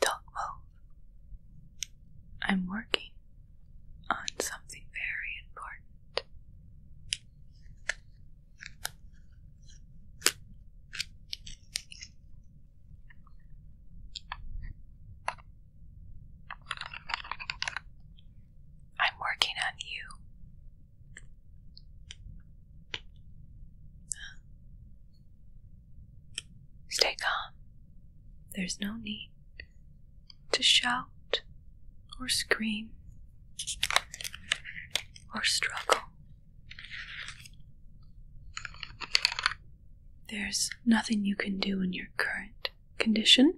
Don't move. I'm working on something very important. I'm working on you. Stay calm. There's no need to shout or scream or struggle. There's nothing you can do in your current condition,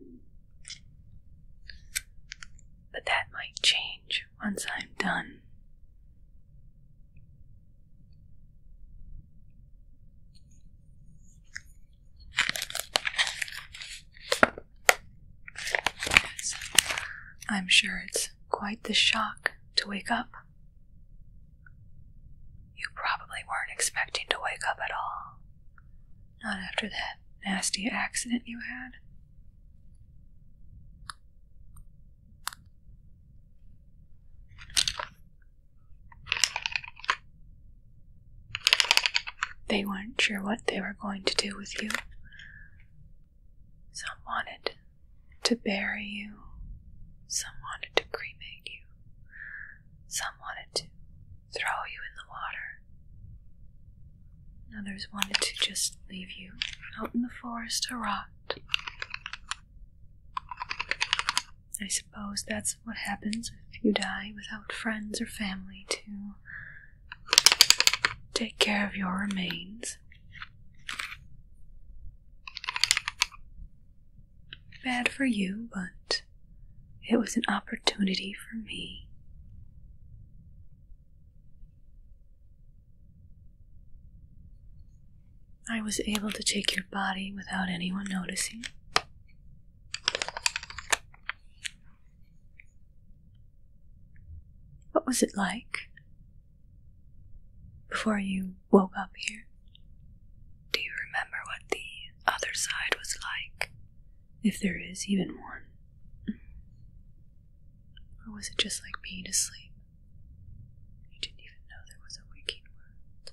but that might change once I'm done. I'm sure it's quite the shock to wake up. You probably weren't expecting to wake up at all. Not after that nasty accident you had. They weren't sure what they were going to do with you. Some wanted to bury you, some wanted to cremate you, some wanted to throw you in the water, others wanted to just leave you out in the forest to rot. I I suppose that's what happens if you die without friends or family to take care of your remains. Bad for you, but it was an opportunity for me. I was able to take your body without anyone noticing. What was it like before you woke up here? Do you remember what the other side was like? If there is even one? Or was it just like being asleep? You didn't even know there was a waking world.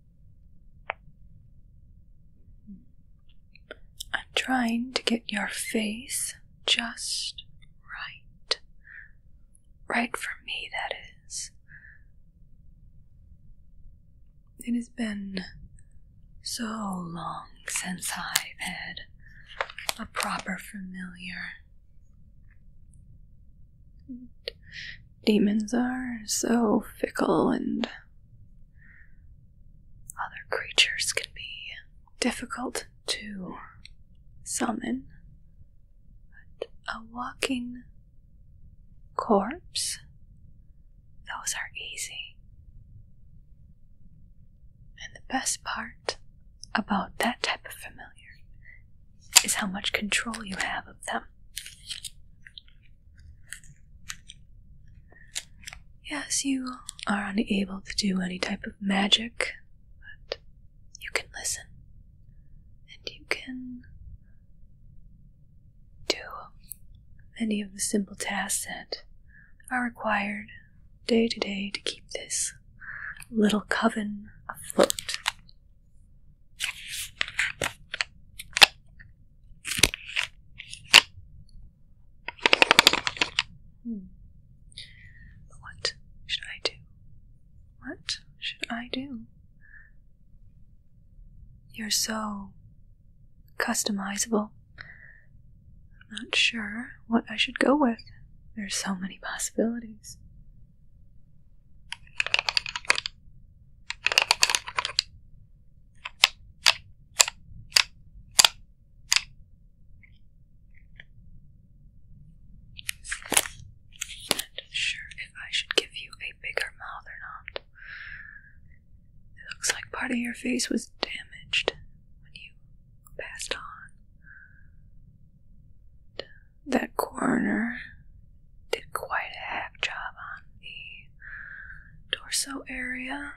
I'm trying to get your face just right. Right for me, that is. It has been so long since I've had a proper familiar demons are so fickle and other creatures can be difficult to summon. But a walking corpse, those are easy. And the best part about that type of familiar is how much control you have of them. Yes, you are unable to do any type of magic, but you can listen and you can do many of the simple tasks that are required day to day to keep this little coven afloat. Hmm. What should I do? What should I do? You're so customizable. I'm not sure what I should go with. There's so many possibilities. Not sure if I should give you a bigger mouth or not. It looks like part of your face was damaged when you passed on that coroner did quite a hack job on the torso area.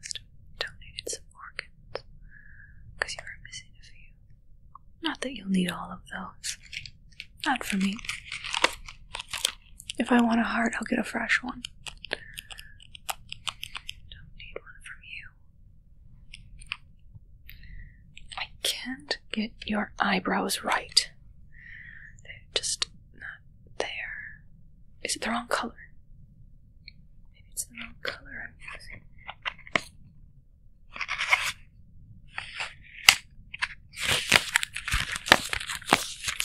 Must donated some organs you were missing a few. Not that you'll need all of those. Not for me. If I want a heart, I'll get a fresh one. Don't need one from you. I can't get your eyebrows right. They're just not there. Is it the wrong color? Maybe it's the wrong color I'm using.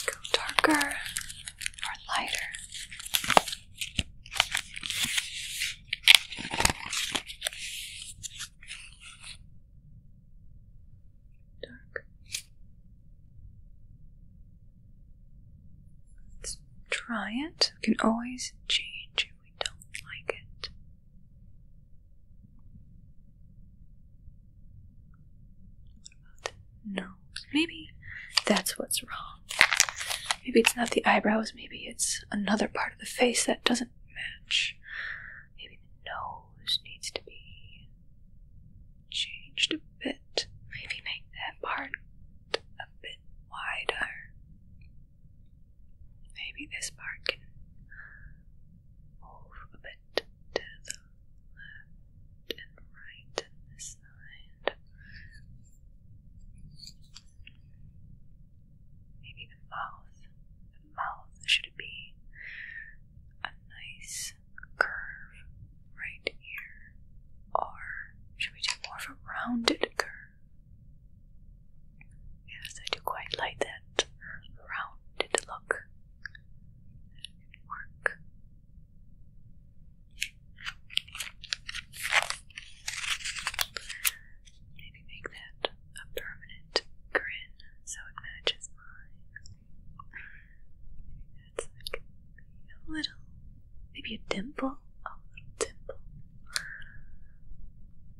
Go darker or lighter. Dark. Let's try it. We can always change if we don't like it. What about no? Maybe that's what's wrong. Maybe it's not the eyebrows, maybe it's another part of the face that doesn't match. Maybe the nose needs to be changed a bit. Maybe make that part a bit wider. Maybe this part can move a bit to the left and right, Maybe the mouth. The mouth should be a nice curve right here. Or should we do more of a rounded curve? Yes, I do quite like that rounded look. work. Maybe make that a permanent grin so it matches mine. Maybe a little, maybe a dimple. a little dimple.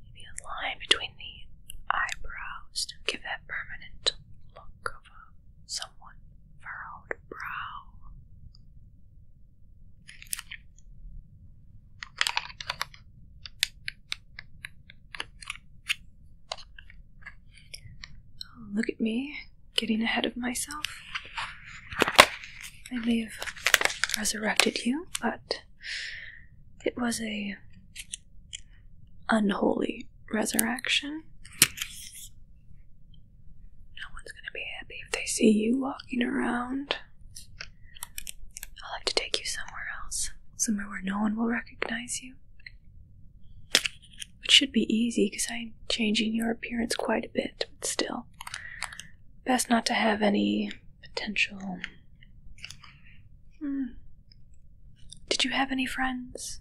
Maybe a line between the eyebrows to give that permanent look of a somewhat furrowed brow. Oh, look at me getting ahead of myself. I may have resurrected you, but it was a unholy resurrection. No one's gonna be happy if they see you walking around. I'll have to take you somewhere else, somewhere where no one will recognize you. It should be easy because I'm changing your appearance quite a bit, but still. Best not to have any potential. Hmm. Did you have any friends?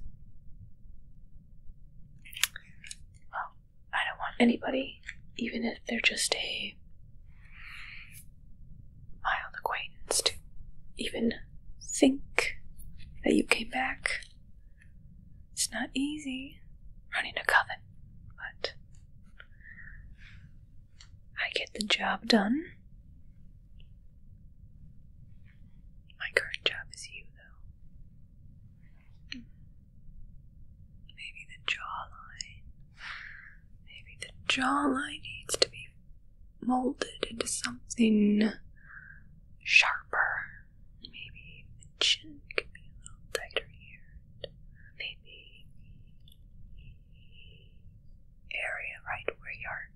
Oh, I don't want anybody, even if they're just a mild acquaintance, to even think that you came back. It's not easy running a coven, but I get the job done. My current job is you, though. Maybe the jawline. Maybe the jawline needs to be molded into something sharper. Maybe the chin could be a little tighter here. Maybe the area right where your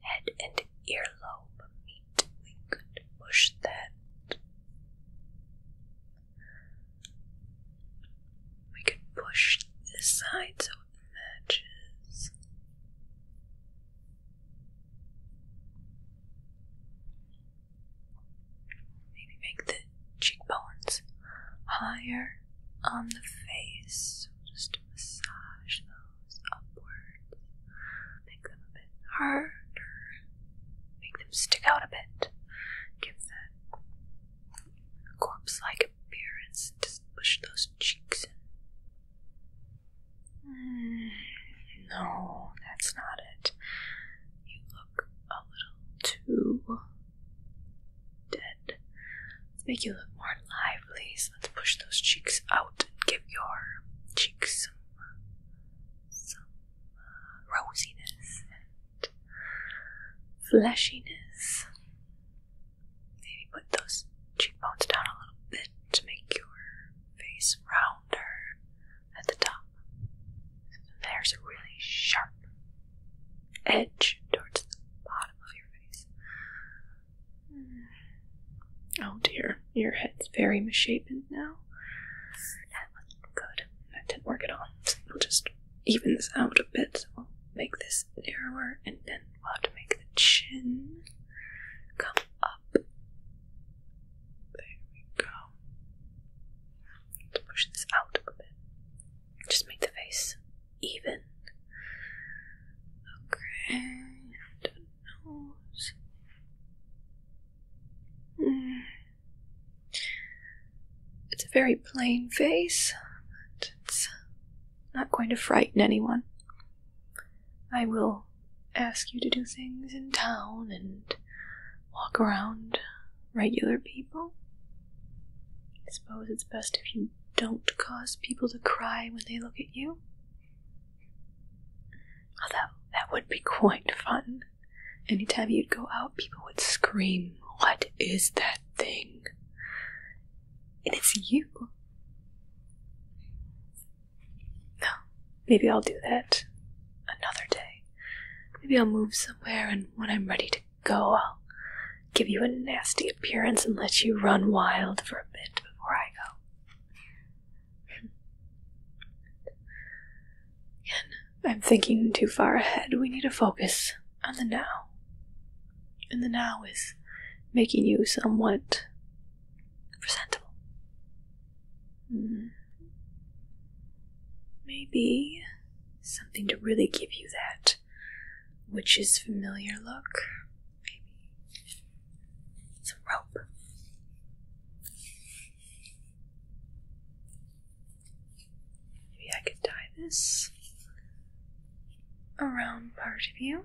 head and earlobe meet. We could push that we could push this side so it matches. Maybe make the cheekbones higher on the face. Just massage those upwards. Make them a bit harder make them stick out a bit, give that corpse like appearance, just push those cheeks mm, no, that's not it. You look a little too dead. Let's make you look more lively, let's push those cheeks out and give your cheeks some rosiness and fleshiness. Maybe put those cheekbones down a little bit to make your face rounder at the top. There's a really sharp edge towards the bottom of your face. Mm. Oh dear, your head's very misshapen now. Good. That didn't work at all. So we'll just even this out a bit. So we'll make this narrower and then we'll have to make the chin come up. There we go. Let's push this out a bit. Just make the face even. Okay, it's a very plain face, it's not going to frighten anyone. I will ask you to do things in town and walk around regular people. I suppose it's best if you don't cause people to cry when they look at you. Although, that would be quite fun. Anytime you'd go out, people would scream, What is that thing? And it's you. No, maybe I'll do that another day. Maybe I'll move somewhere, and when I'm ready to go, I'll give you a nasty appearance and let you run wild for a bit before I go. Again, I'm thinking too far ahead. We need to focus on the now. And the now is making you somewhat presentable. Mm-hmm. Maybe something to really give you that witch's familiar look. Maybe some rope. Maybe I could tie this around part of you.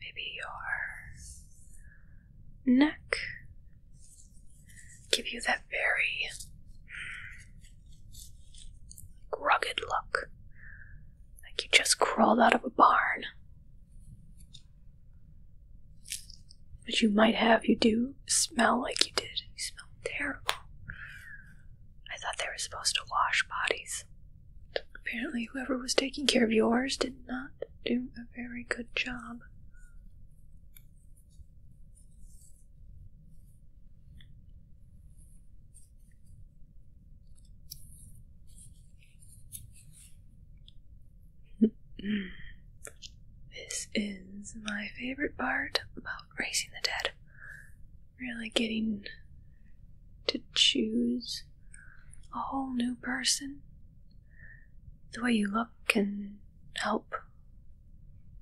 Maybe your neck. Give you that very rugged look. Like you just crawled out of a barn. But you might have. You do smell like you did. You smell terrible. I thought they were supposed to wash bodies. Apparently, whoever was taking care of yours did not do a very good job. This is my favorite part about raising the dead. Really getting to choose a whole new person. The way you look can help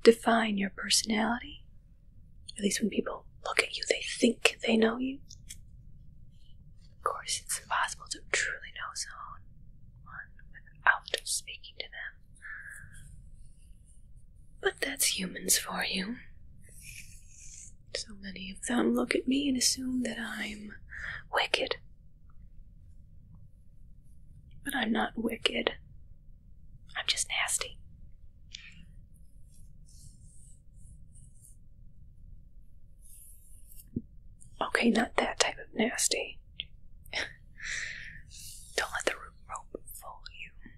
define your personality. At least when people look at you, they think they know you. Of course, it's impossible to truly know someone without speaking to them. But that's humans for you. So many of them look at me and assume that I'm wicked. But I'm not wicked. I'm just nasty. Okay, not that type of nasty. Don't let the rope volume.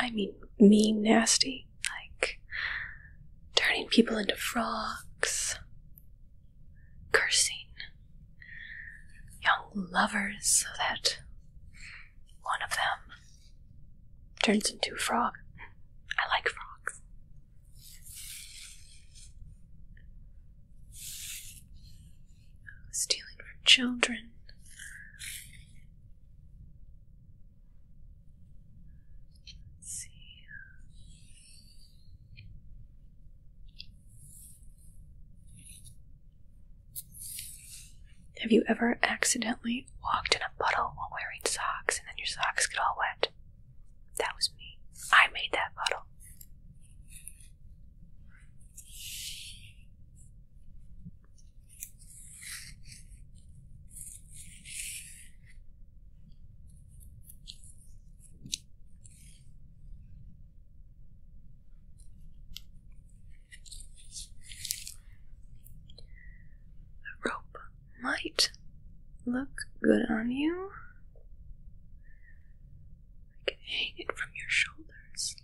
I mean, mean, nasty, like turning people into frogs, cursing young lovers so that one of them turns into a frog. I like frogs. Stealing from children. Have you ever accidentally walked in a puddle while wearing socks and then your socks get all wet? That was me. I made that bottle. A rope might look good on you hang it from your shoulders.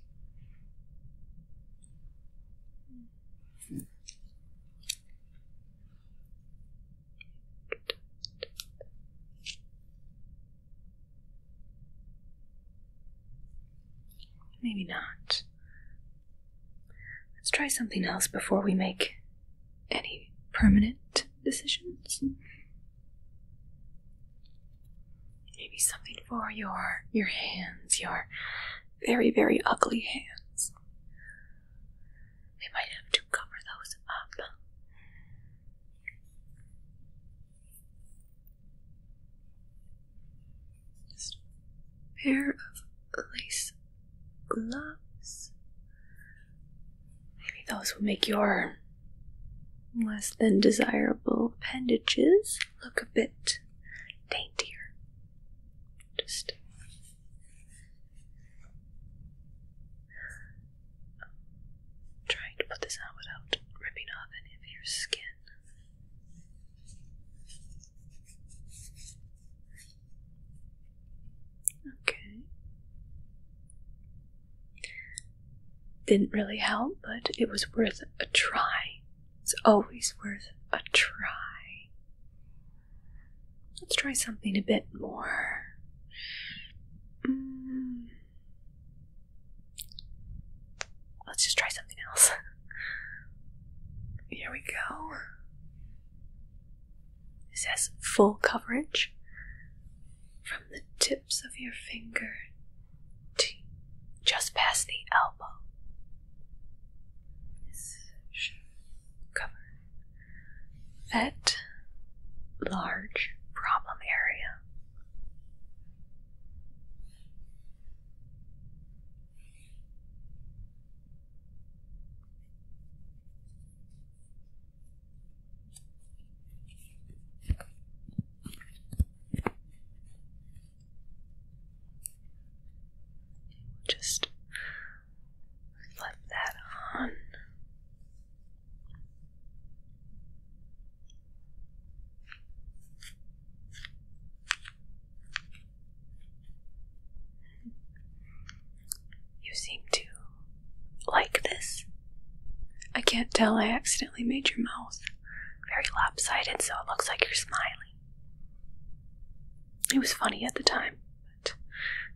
Maybe not. Let's try something else before we make any permanent decisions. Maybe something for your your hands, your very, very ugly hands. We might have to cover those up. pair of lace gloves. Maybe those will make your less than desirable appendages look a bit daintier. Just trying to put this on without ripping off any of your skin. Okay. Didn't really help, but it was worth a try. It's always worth a try. Let's try something a bit more. Mm. Let's just try something else. Here we go. It says full coverage from the tips of your finger just past the elbow. This should that large problem area. Just reflect that on. You seem to like this. I can't tell I accidentally made your mouth very lopsided so it looks like you're smiling. It was funny at the time, but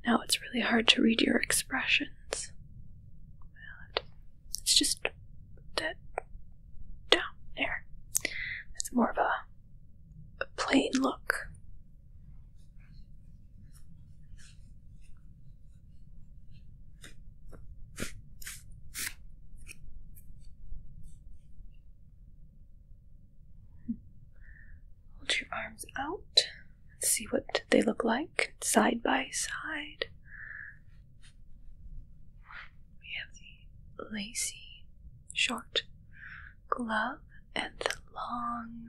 now it's really hard to read your expressions. it's just that down there. It's more of a plain look. Hold your arms out. let see what they look like side by side. We have the lacy short glove and the long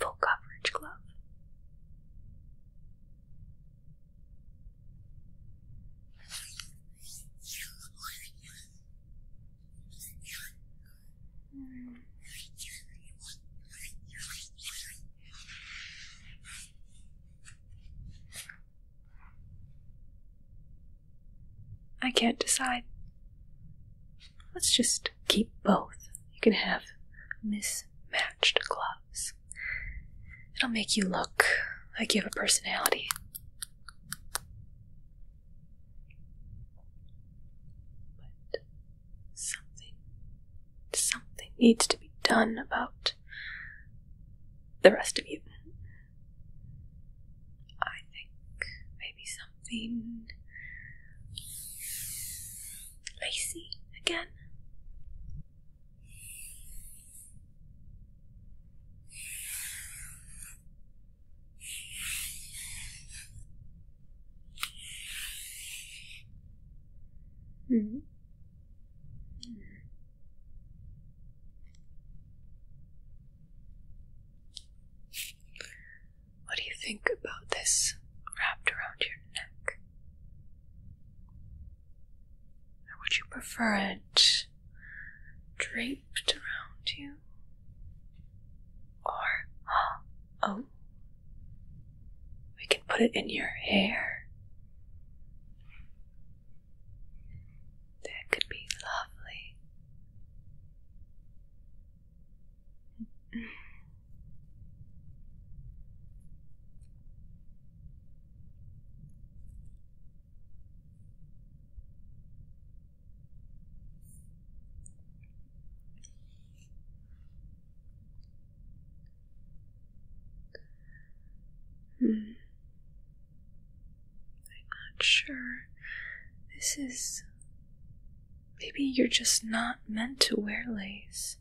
full coverage glove. I can't decide. Let's just keep both. You can have mismatched gloves. It'll make you look like you have a personality. But something, something needs to be done about the rest of you. I think maybe something lacy again hmm What do you think about this wrapped around your neck? would you prefer it draped around you? Or, oh, we can put it in your hair. That could be lovely. Hmm. I'm not sure. This is. Maybe you're just not meant to wear lace.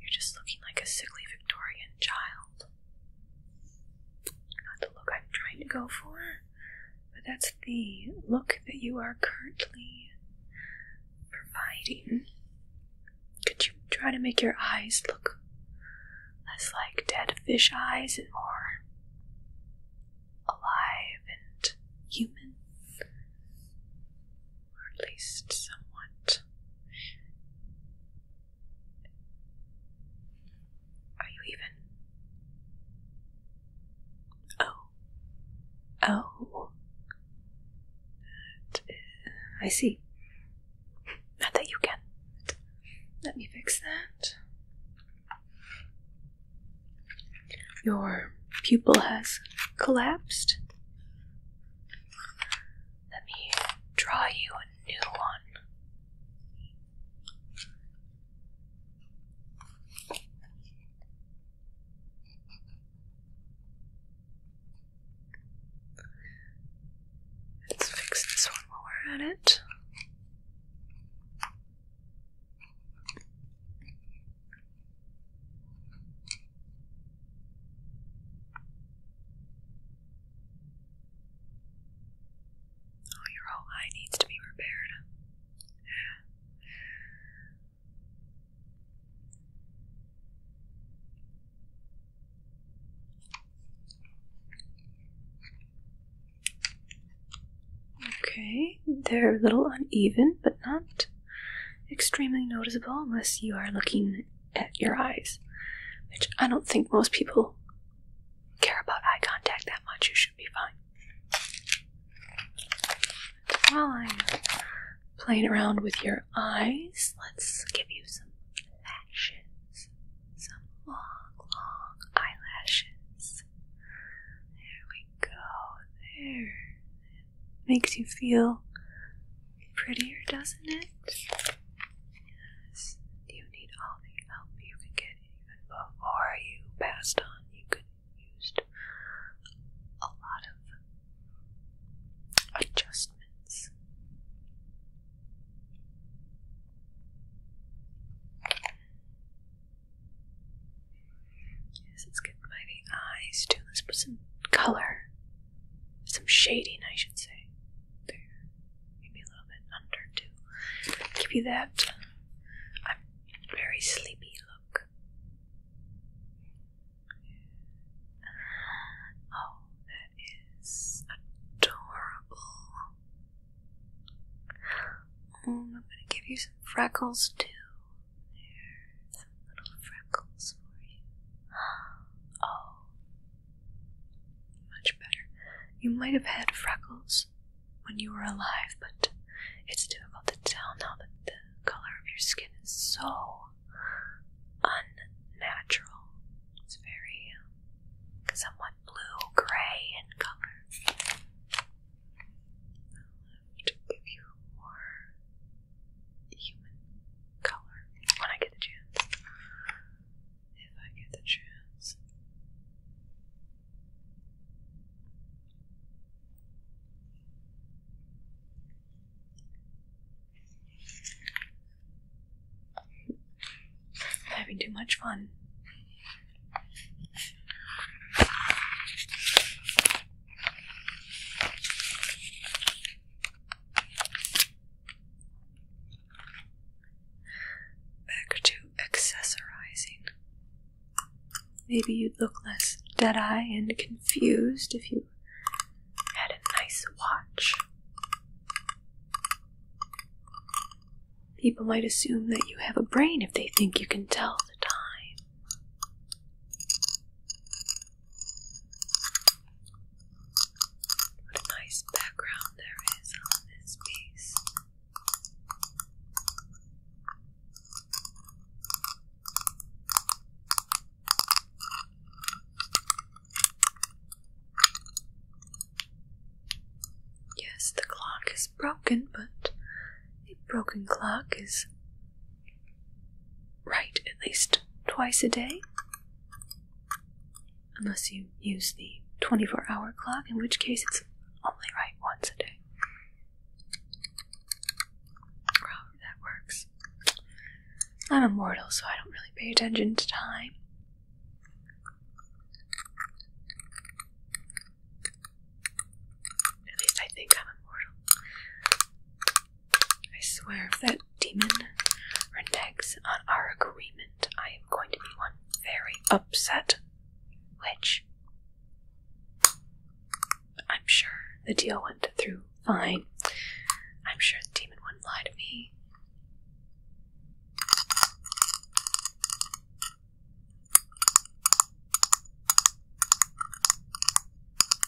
You're just looking like a sickly Victorian child. Not the look I'm trying to go for, but that's the look that you are currently providing. Could you try to make your eyes look less like dead fish eyes and more alive and human? or at least somewhat. Are you even? Oh. Oh. I see. Not that you can. Let me fix that. Your pupil has collapsed. Let me draw you a new one. Let's fix this one while we're at it. Oh, your whole eye needs to be repaired. Yeah. Okay, they're a little uneven, but not extremely noticeable unless you are looking at your eyes, which I don't think most people care about eye contact that much. You should be fine. While I'm playing around with your eyes, let's give you some lashes. Some long, long eyelashes. There we go. There makes you feel prettier, doesn't it? Yes. You need all the help you can get even before you passed on. You could used a lot of adjustments. Yes, it's getting by the eyes too. Let's put some color some shading, I should say. maybe a little bit under too. Give you that uh, very sleepy look. Uh, oh, that is adorable. Mm, I'm gonna give you some freckles too. There are little freckles for you. Oh, much better. You might have had freckles when you were alive, but it's difficult to tell now that the color of your skin is so unnatural. It's very uh, somewhat blue gray in color. I'll have to give you more human color when I get the chance. If I get the chance. having too much fun. Back to accessorizing. Maybe you'd look less dead eye and confused if you had a nice watch. People might assume that you have a brain if they think you can tell the time. What a nice background there is on this piece. Yes, the clock is broken, but a broken clock is Right, at least twice a day, unless you use the 24 hour clock, in which case it's only right once a day. however that works. I'm immortal, so I don't really pay attention to time. At least I think I'm immortal. I swear, if that demon reneges on our agreement, I am going to be one very upset witch. I'm sure the deal went through fine. I'm sure the demon wouldn't lie to me.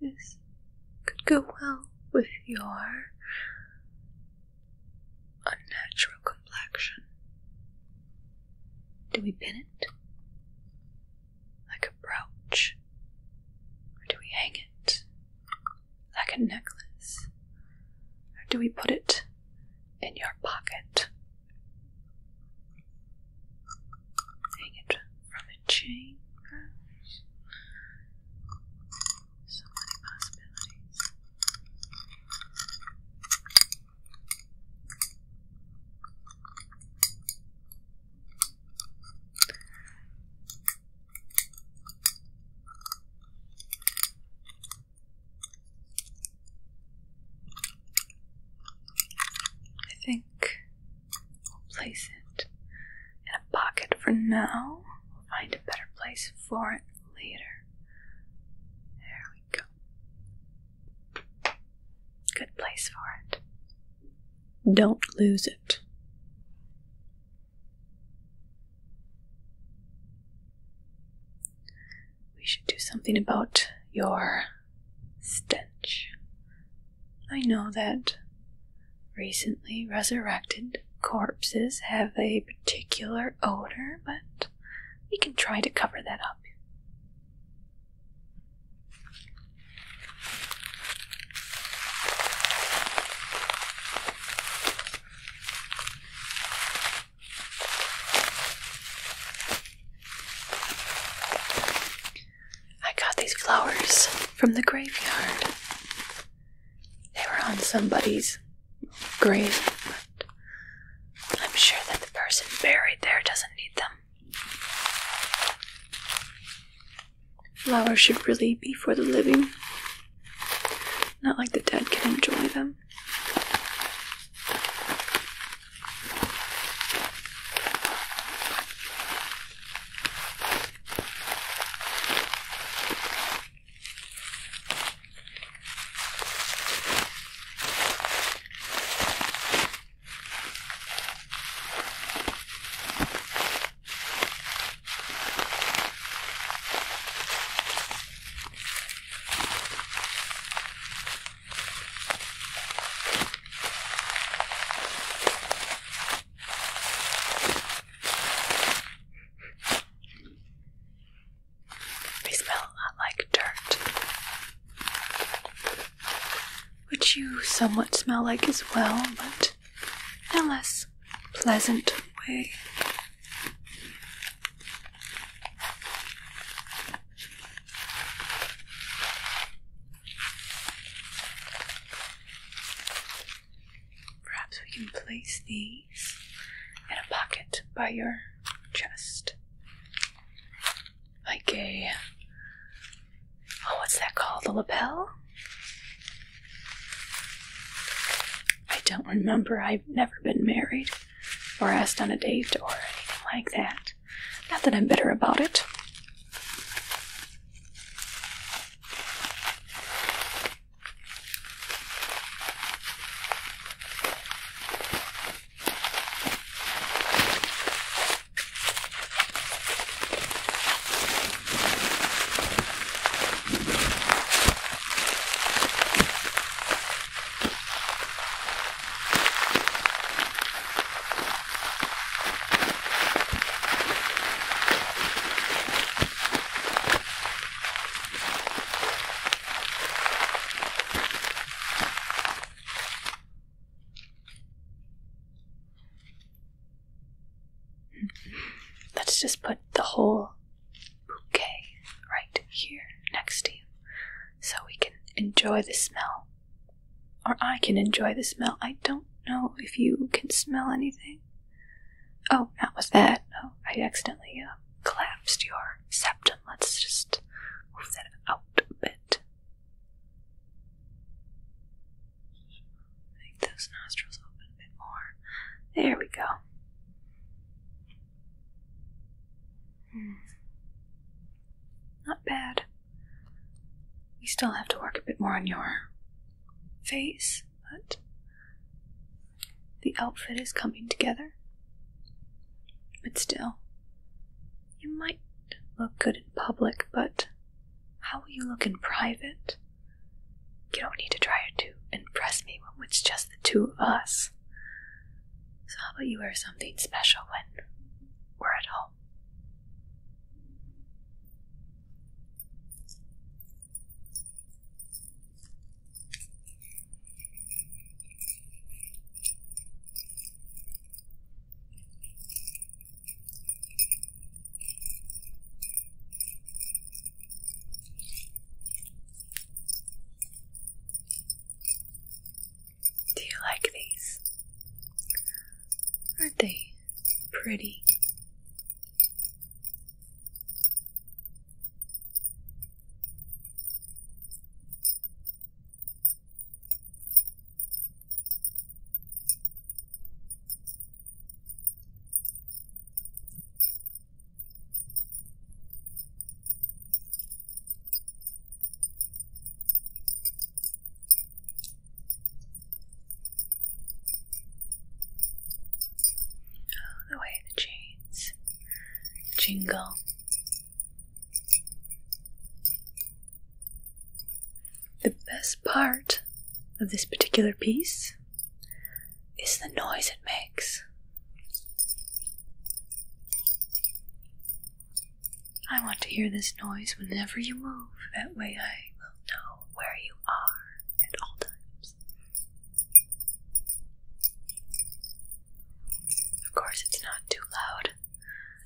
This could go well with your unnatural complexion. Do we pin it like a brooch, or do we hang it like a necklace? Or do we put it in your pocket? Hang it from a chain, So many possibilities. I think we'll place it in a pocket for now. We'll find a better place for it later. There we go. Good place for it. Don't lose it. We should do something about your stench. I know that recently resurrected corpses have a particular odor, but we can try to cover that up. I got these flowers from the graveyard. They were on somebody's grave, but I'm sure that the person buried there doesn't need them. Flowers should really be for the living, not like the dead can enjoy them. They smell a lot like dirt, which you somewhat smell like as well, but in a less pleasant way. Perhaps we can place these in a pocket by your chest. Like a. Oh, what's that called? A lapel? I don't remember. I've never been married or asked on a date or anything like that. Not that I'm bitter about it. Let's just put the whole bouquet right here next to you so we can enjoy the smell. Or I can enjoy the smell. I don't know if you can smell anything. Oh, not with that. Oh, I accidentally uh, collapsed your septum. Let's just move that out a bit. Make those nostrils open a bit more. There we go. Hmm. Not bad. We still have to work a bit more on your face, but the outfit is coming together. But still, you might look good in public, but how will you look in private? You don't need to try to impress me when it's just the two of us. So, how about you wear something special when we're at home? Do you like these? Aren't they pretty? Oh, the way the chains jingle. The best part of this particular piece is the noise it makes. I want to hear this noise whenever you move, that way I will know where you are at all times. Of course, it's not too loud.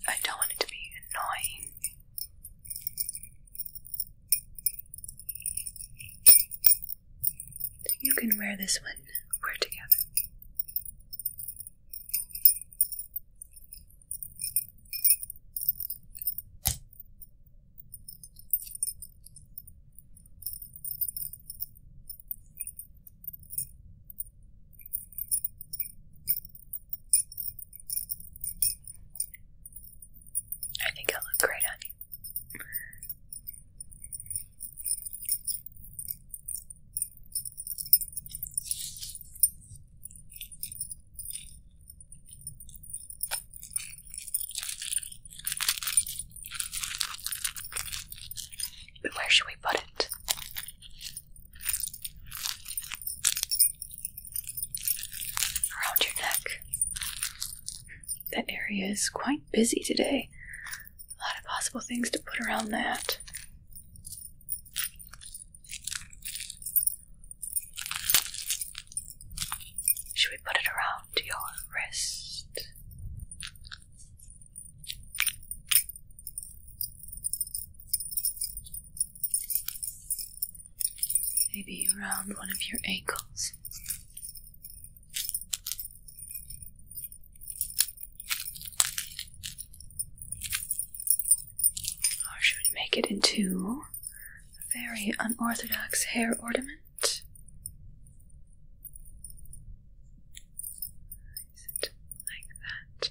I don't want it to be annoying. You can wear this when we're together. I think it'll great on where should we put it? Around your neck. That area is quite busy today a lot of possible things to put around that. Should we put it around your wrist? Maybe around one of your ankles. Or should we make it into a very unorthodox hair ornament? like that?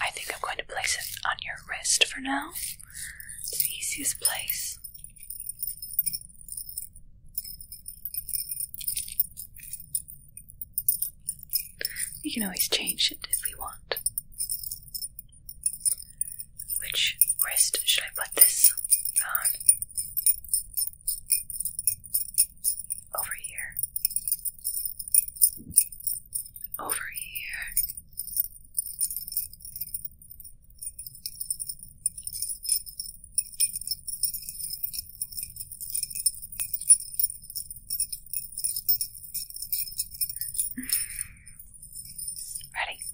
I think I'm going to place it on your wrist for now. It's the easiest place. We can always change it if we want. Which wrist should I put this on? Over here. Over here. Ready?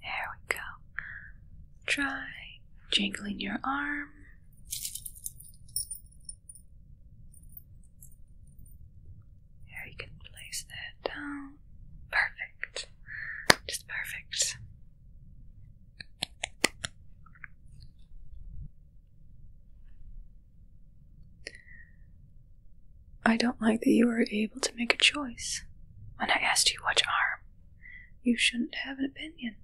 There we go. Try jingling your arm. There, you can place that down. Perfect. Just perfect. I don't like that you are able to make a choice. When I asked you which arm, you shouldn't have an opinion.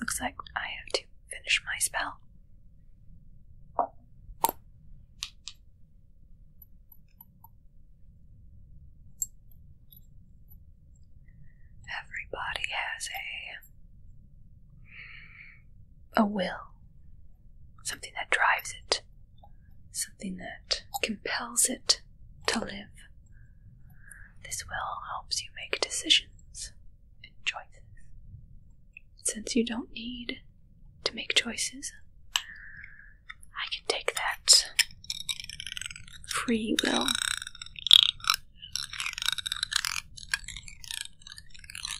Looks like I have to finish my spell. Everybody has a a will something that drives it, something that compels it to live. This will helps you make decisions and choices. Since you don't need to make choices, I can take that free will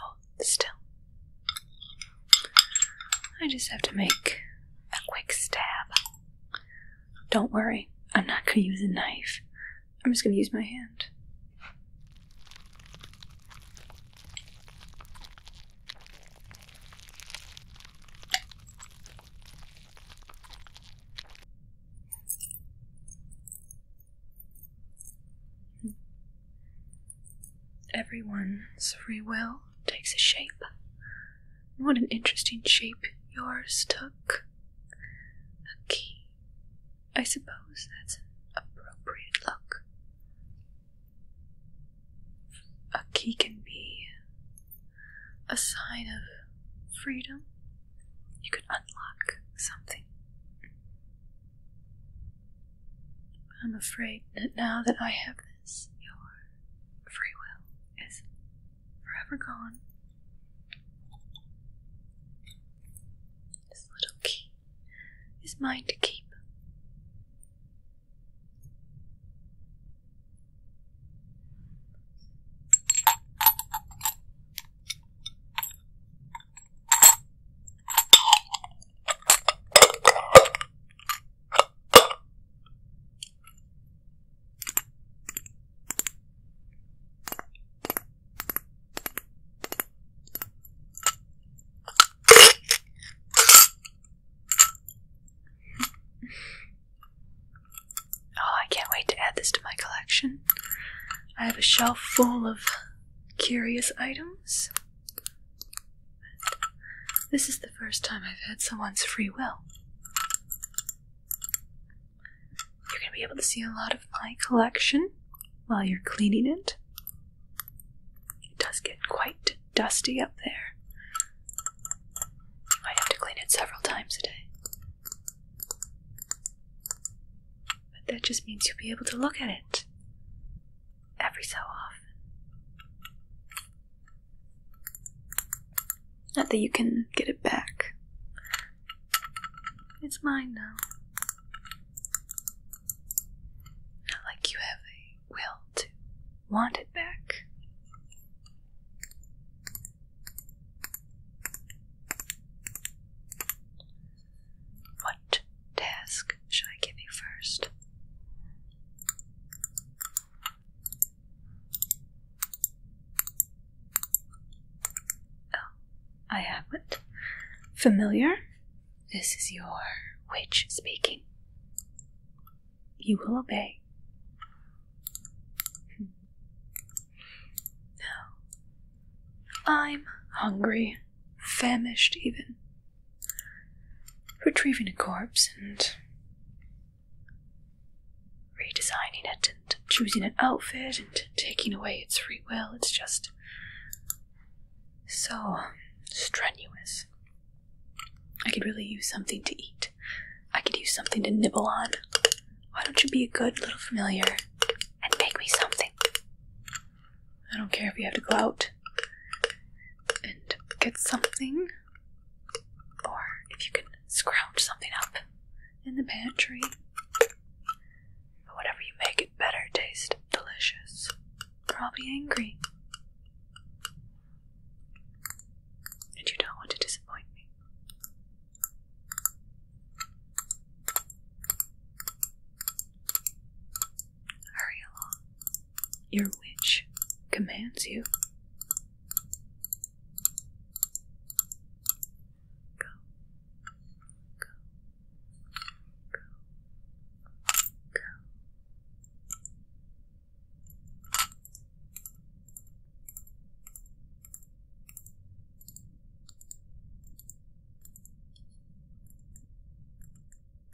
Hold oh, still. I just have to make a quick stab. Don't worry, I'm not going to use a knife. I'm just going to use my hand. Everyone's free will takes a shape. What an interesting shape yours took. A key. I suppose that's an appropriate look. A key can be a sign of freedom. You can unlock something. I'm afraid that now that I have this, your free will is forever gone. This little key is mine to keep. Oh, I can't wait to add this to my collection. I have a shelf full of curious items. This is the first time I've had someone's free will. You're going to be able to see a lot of my collection while you're cleaning it. It does get quite dusty up there. You might have to clean it several times a day. But that just means you'll be able to look at it every so often. Not that you can get it back. It's mine now. Not like you have a will to want it back. What task should I give you first? Oh, I have not Familiar? This is your witch speaking. You will obey. Hmm. Now, I'm hungry, famished even retrieving a corpse and redesigning it and choosing an outfit and taking away its free will. It's just so strenuous. I could really use something to eat. I could use something to nibble on. Why don't you be a good little familiar and make me something? I don't care if you have to go out and get something, or if you can scrounge something up in the pantry. But whatever you make it better taste delicious. Probably angry. And you don't want to disappoint me. Hurry along. Your witch commands you. Go. Go. Go. Go.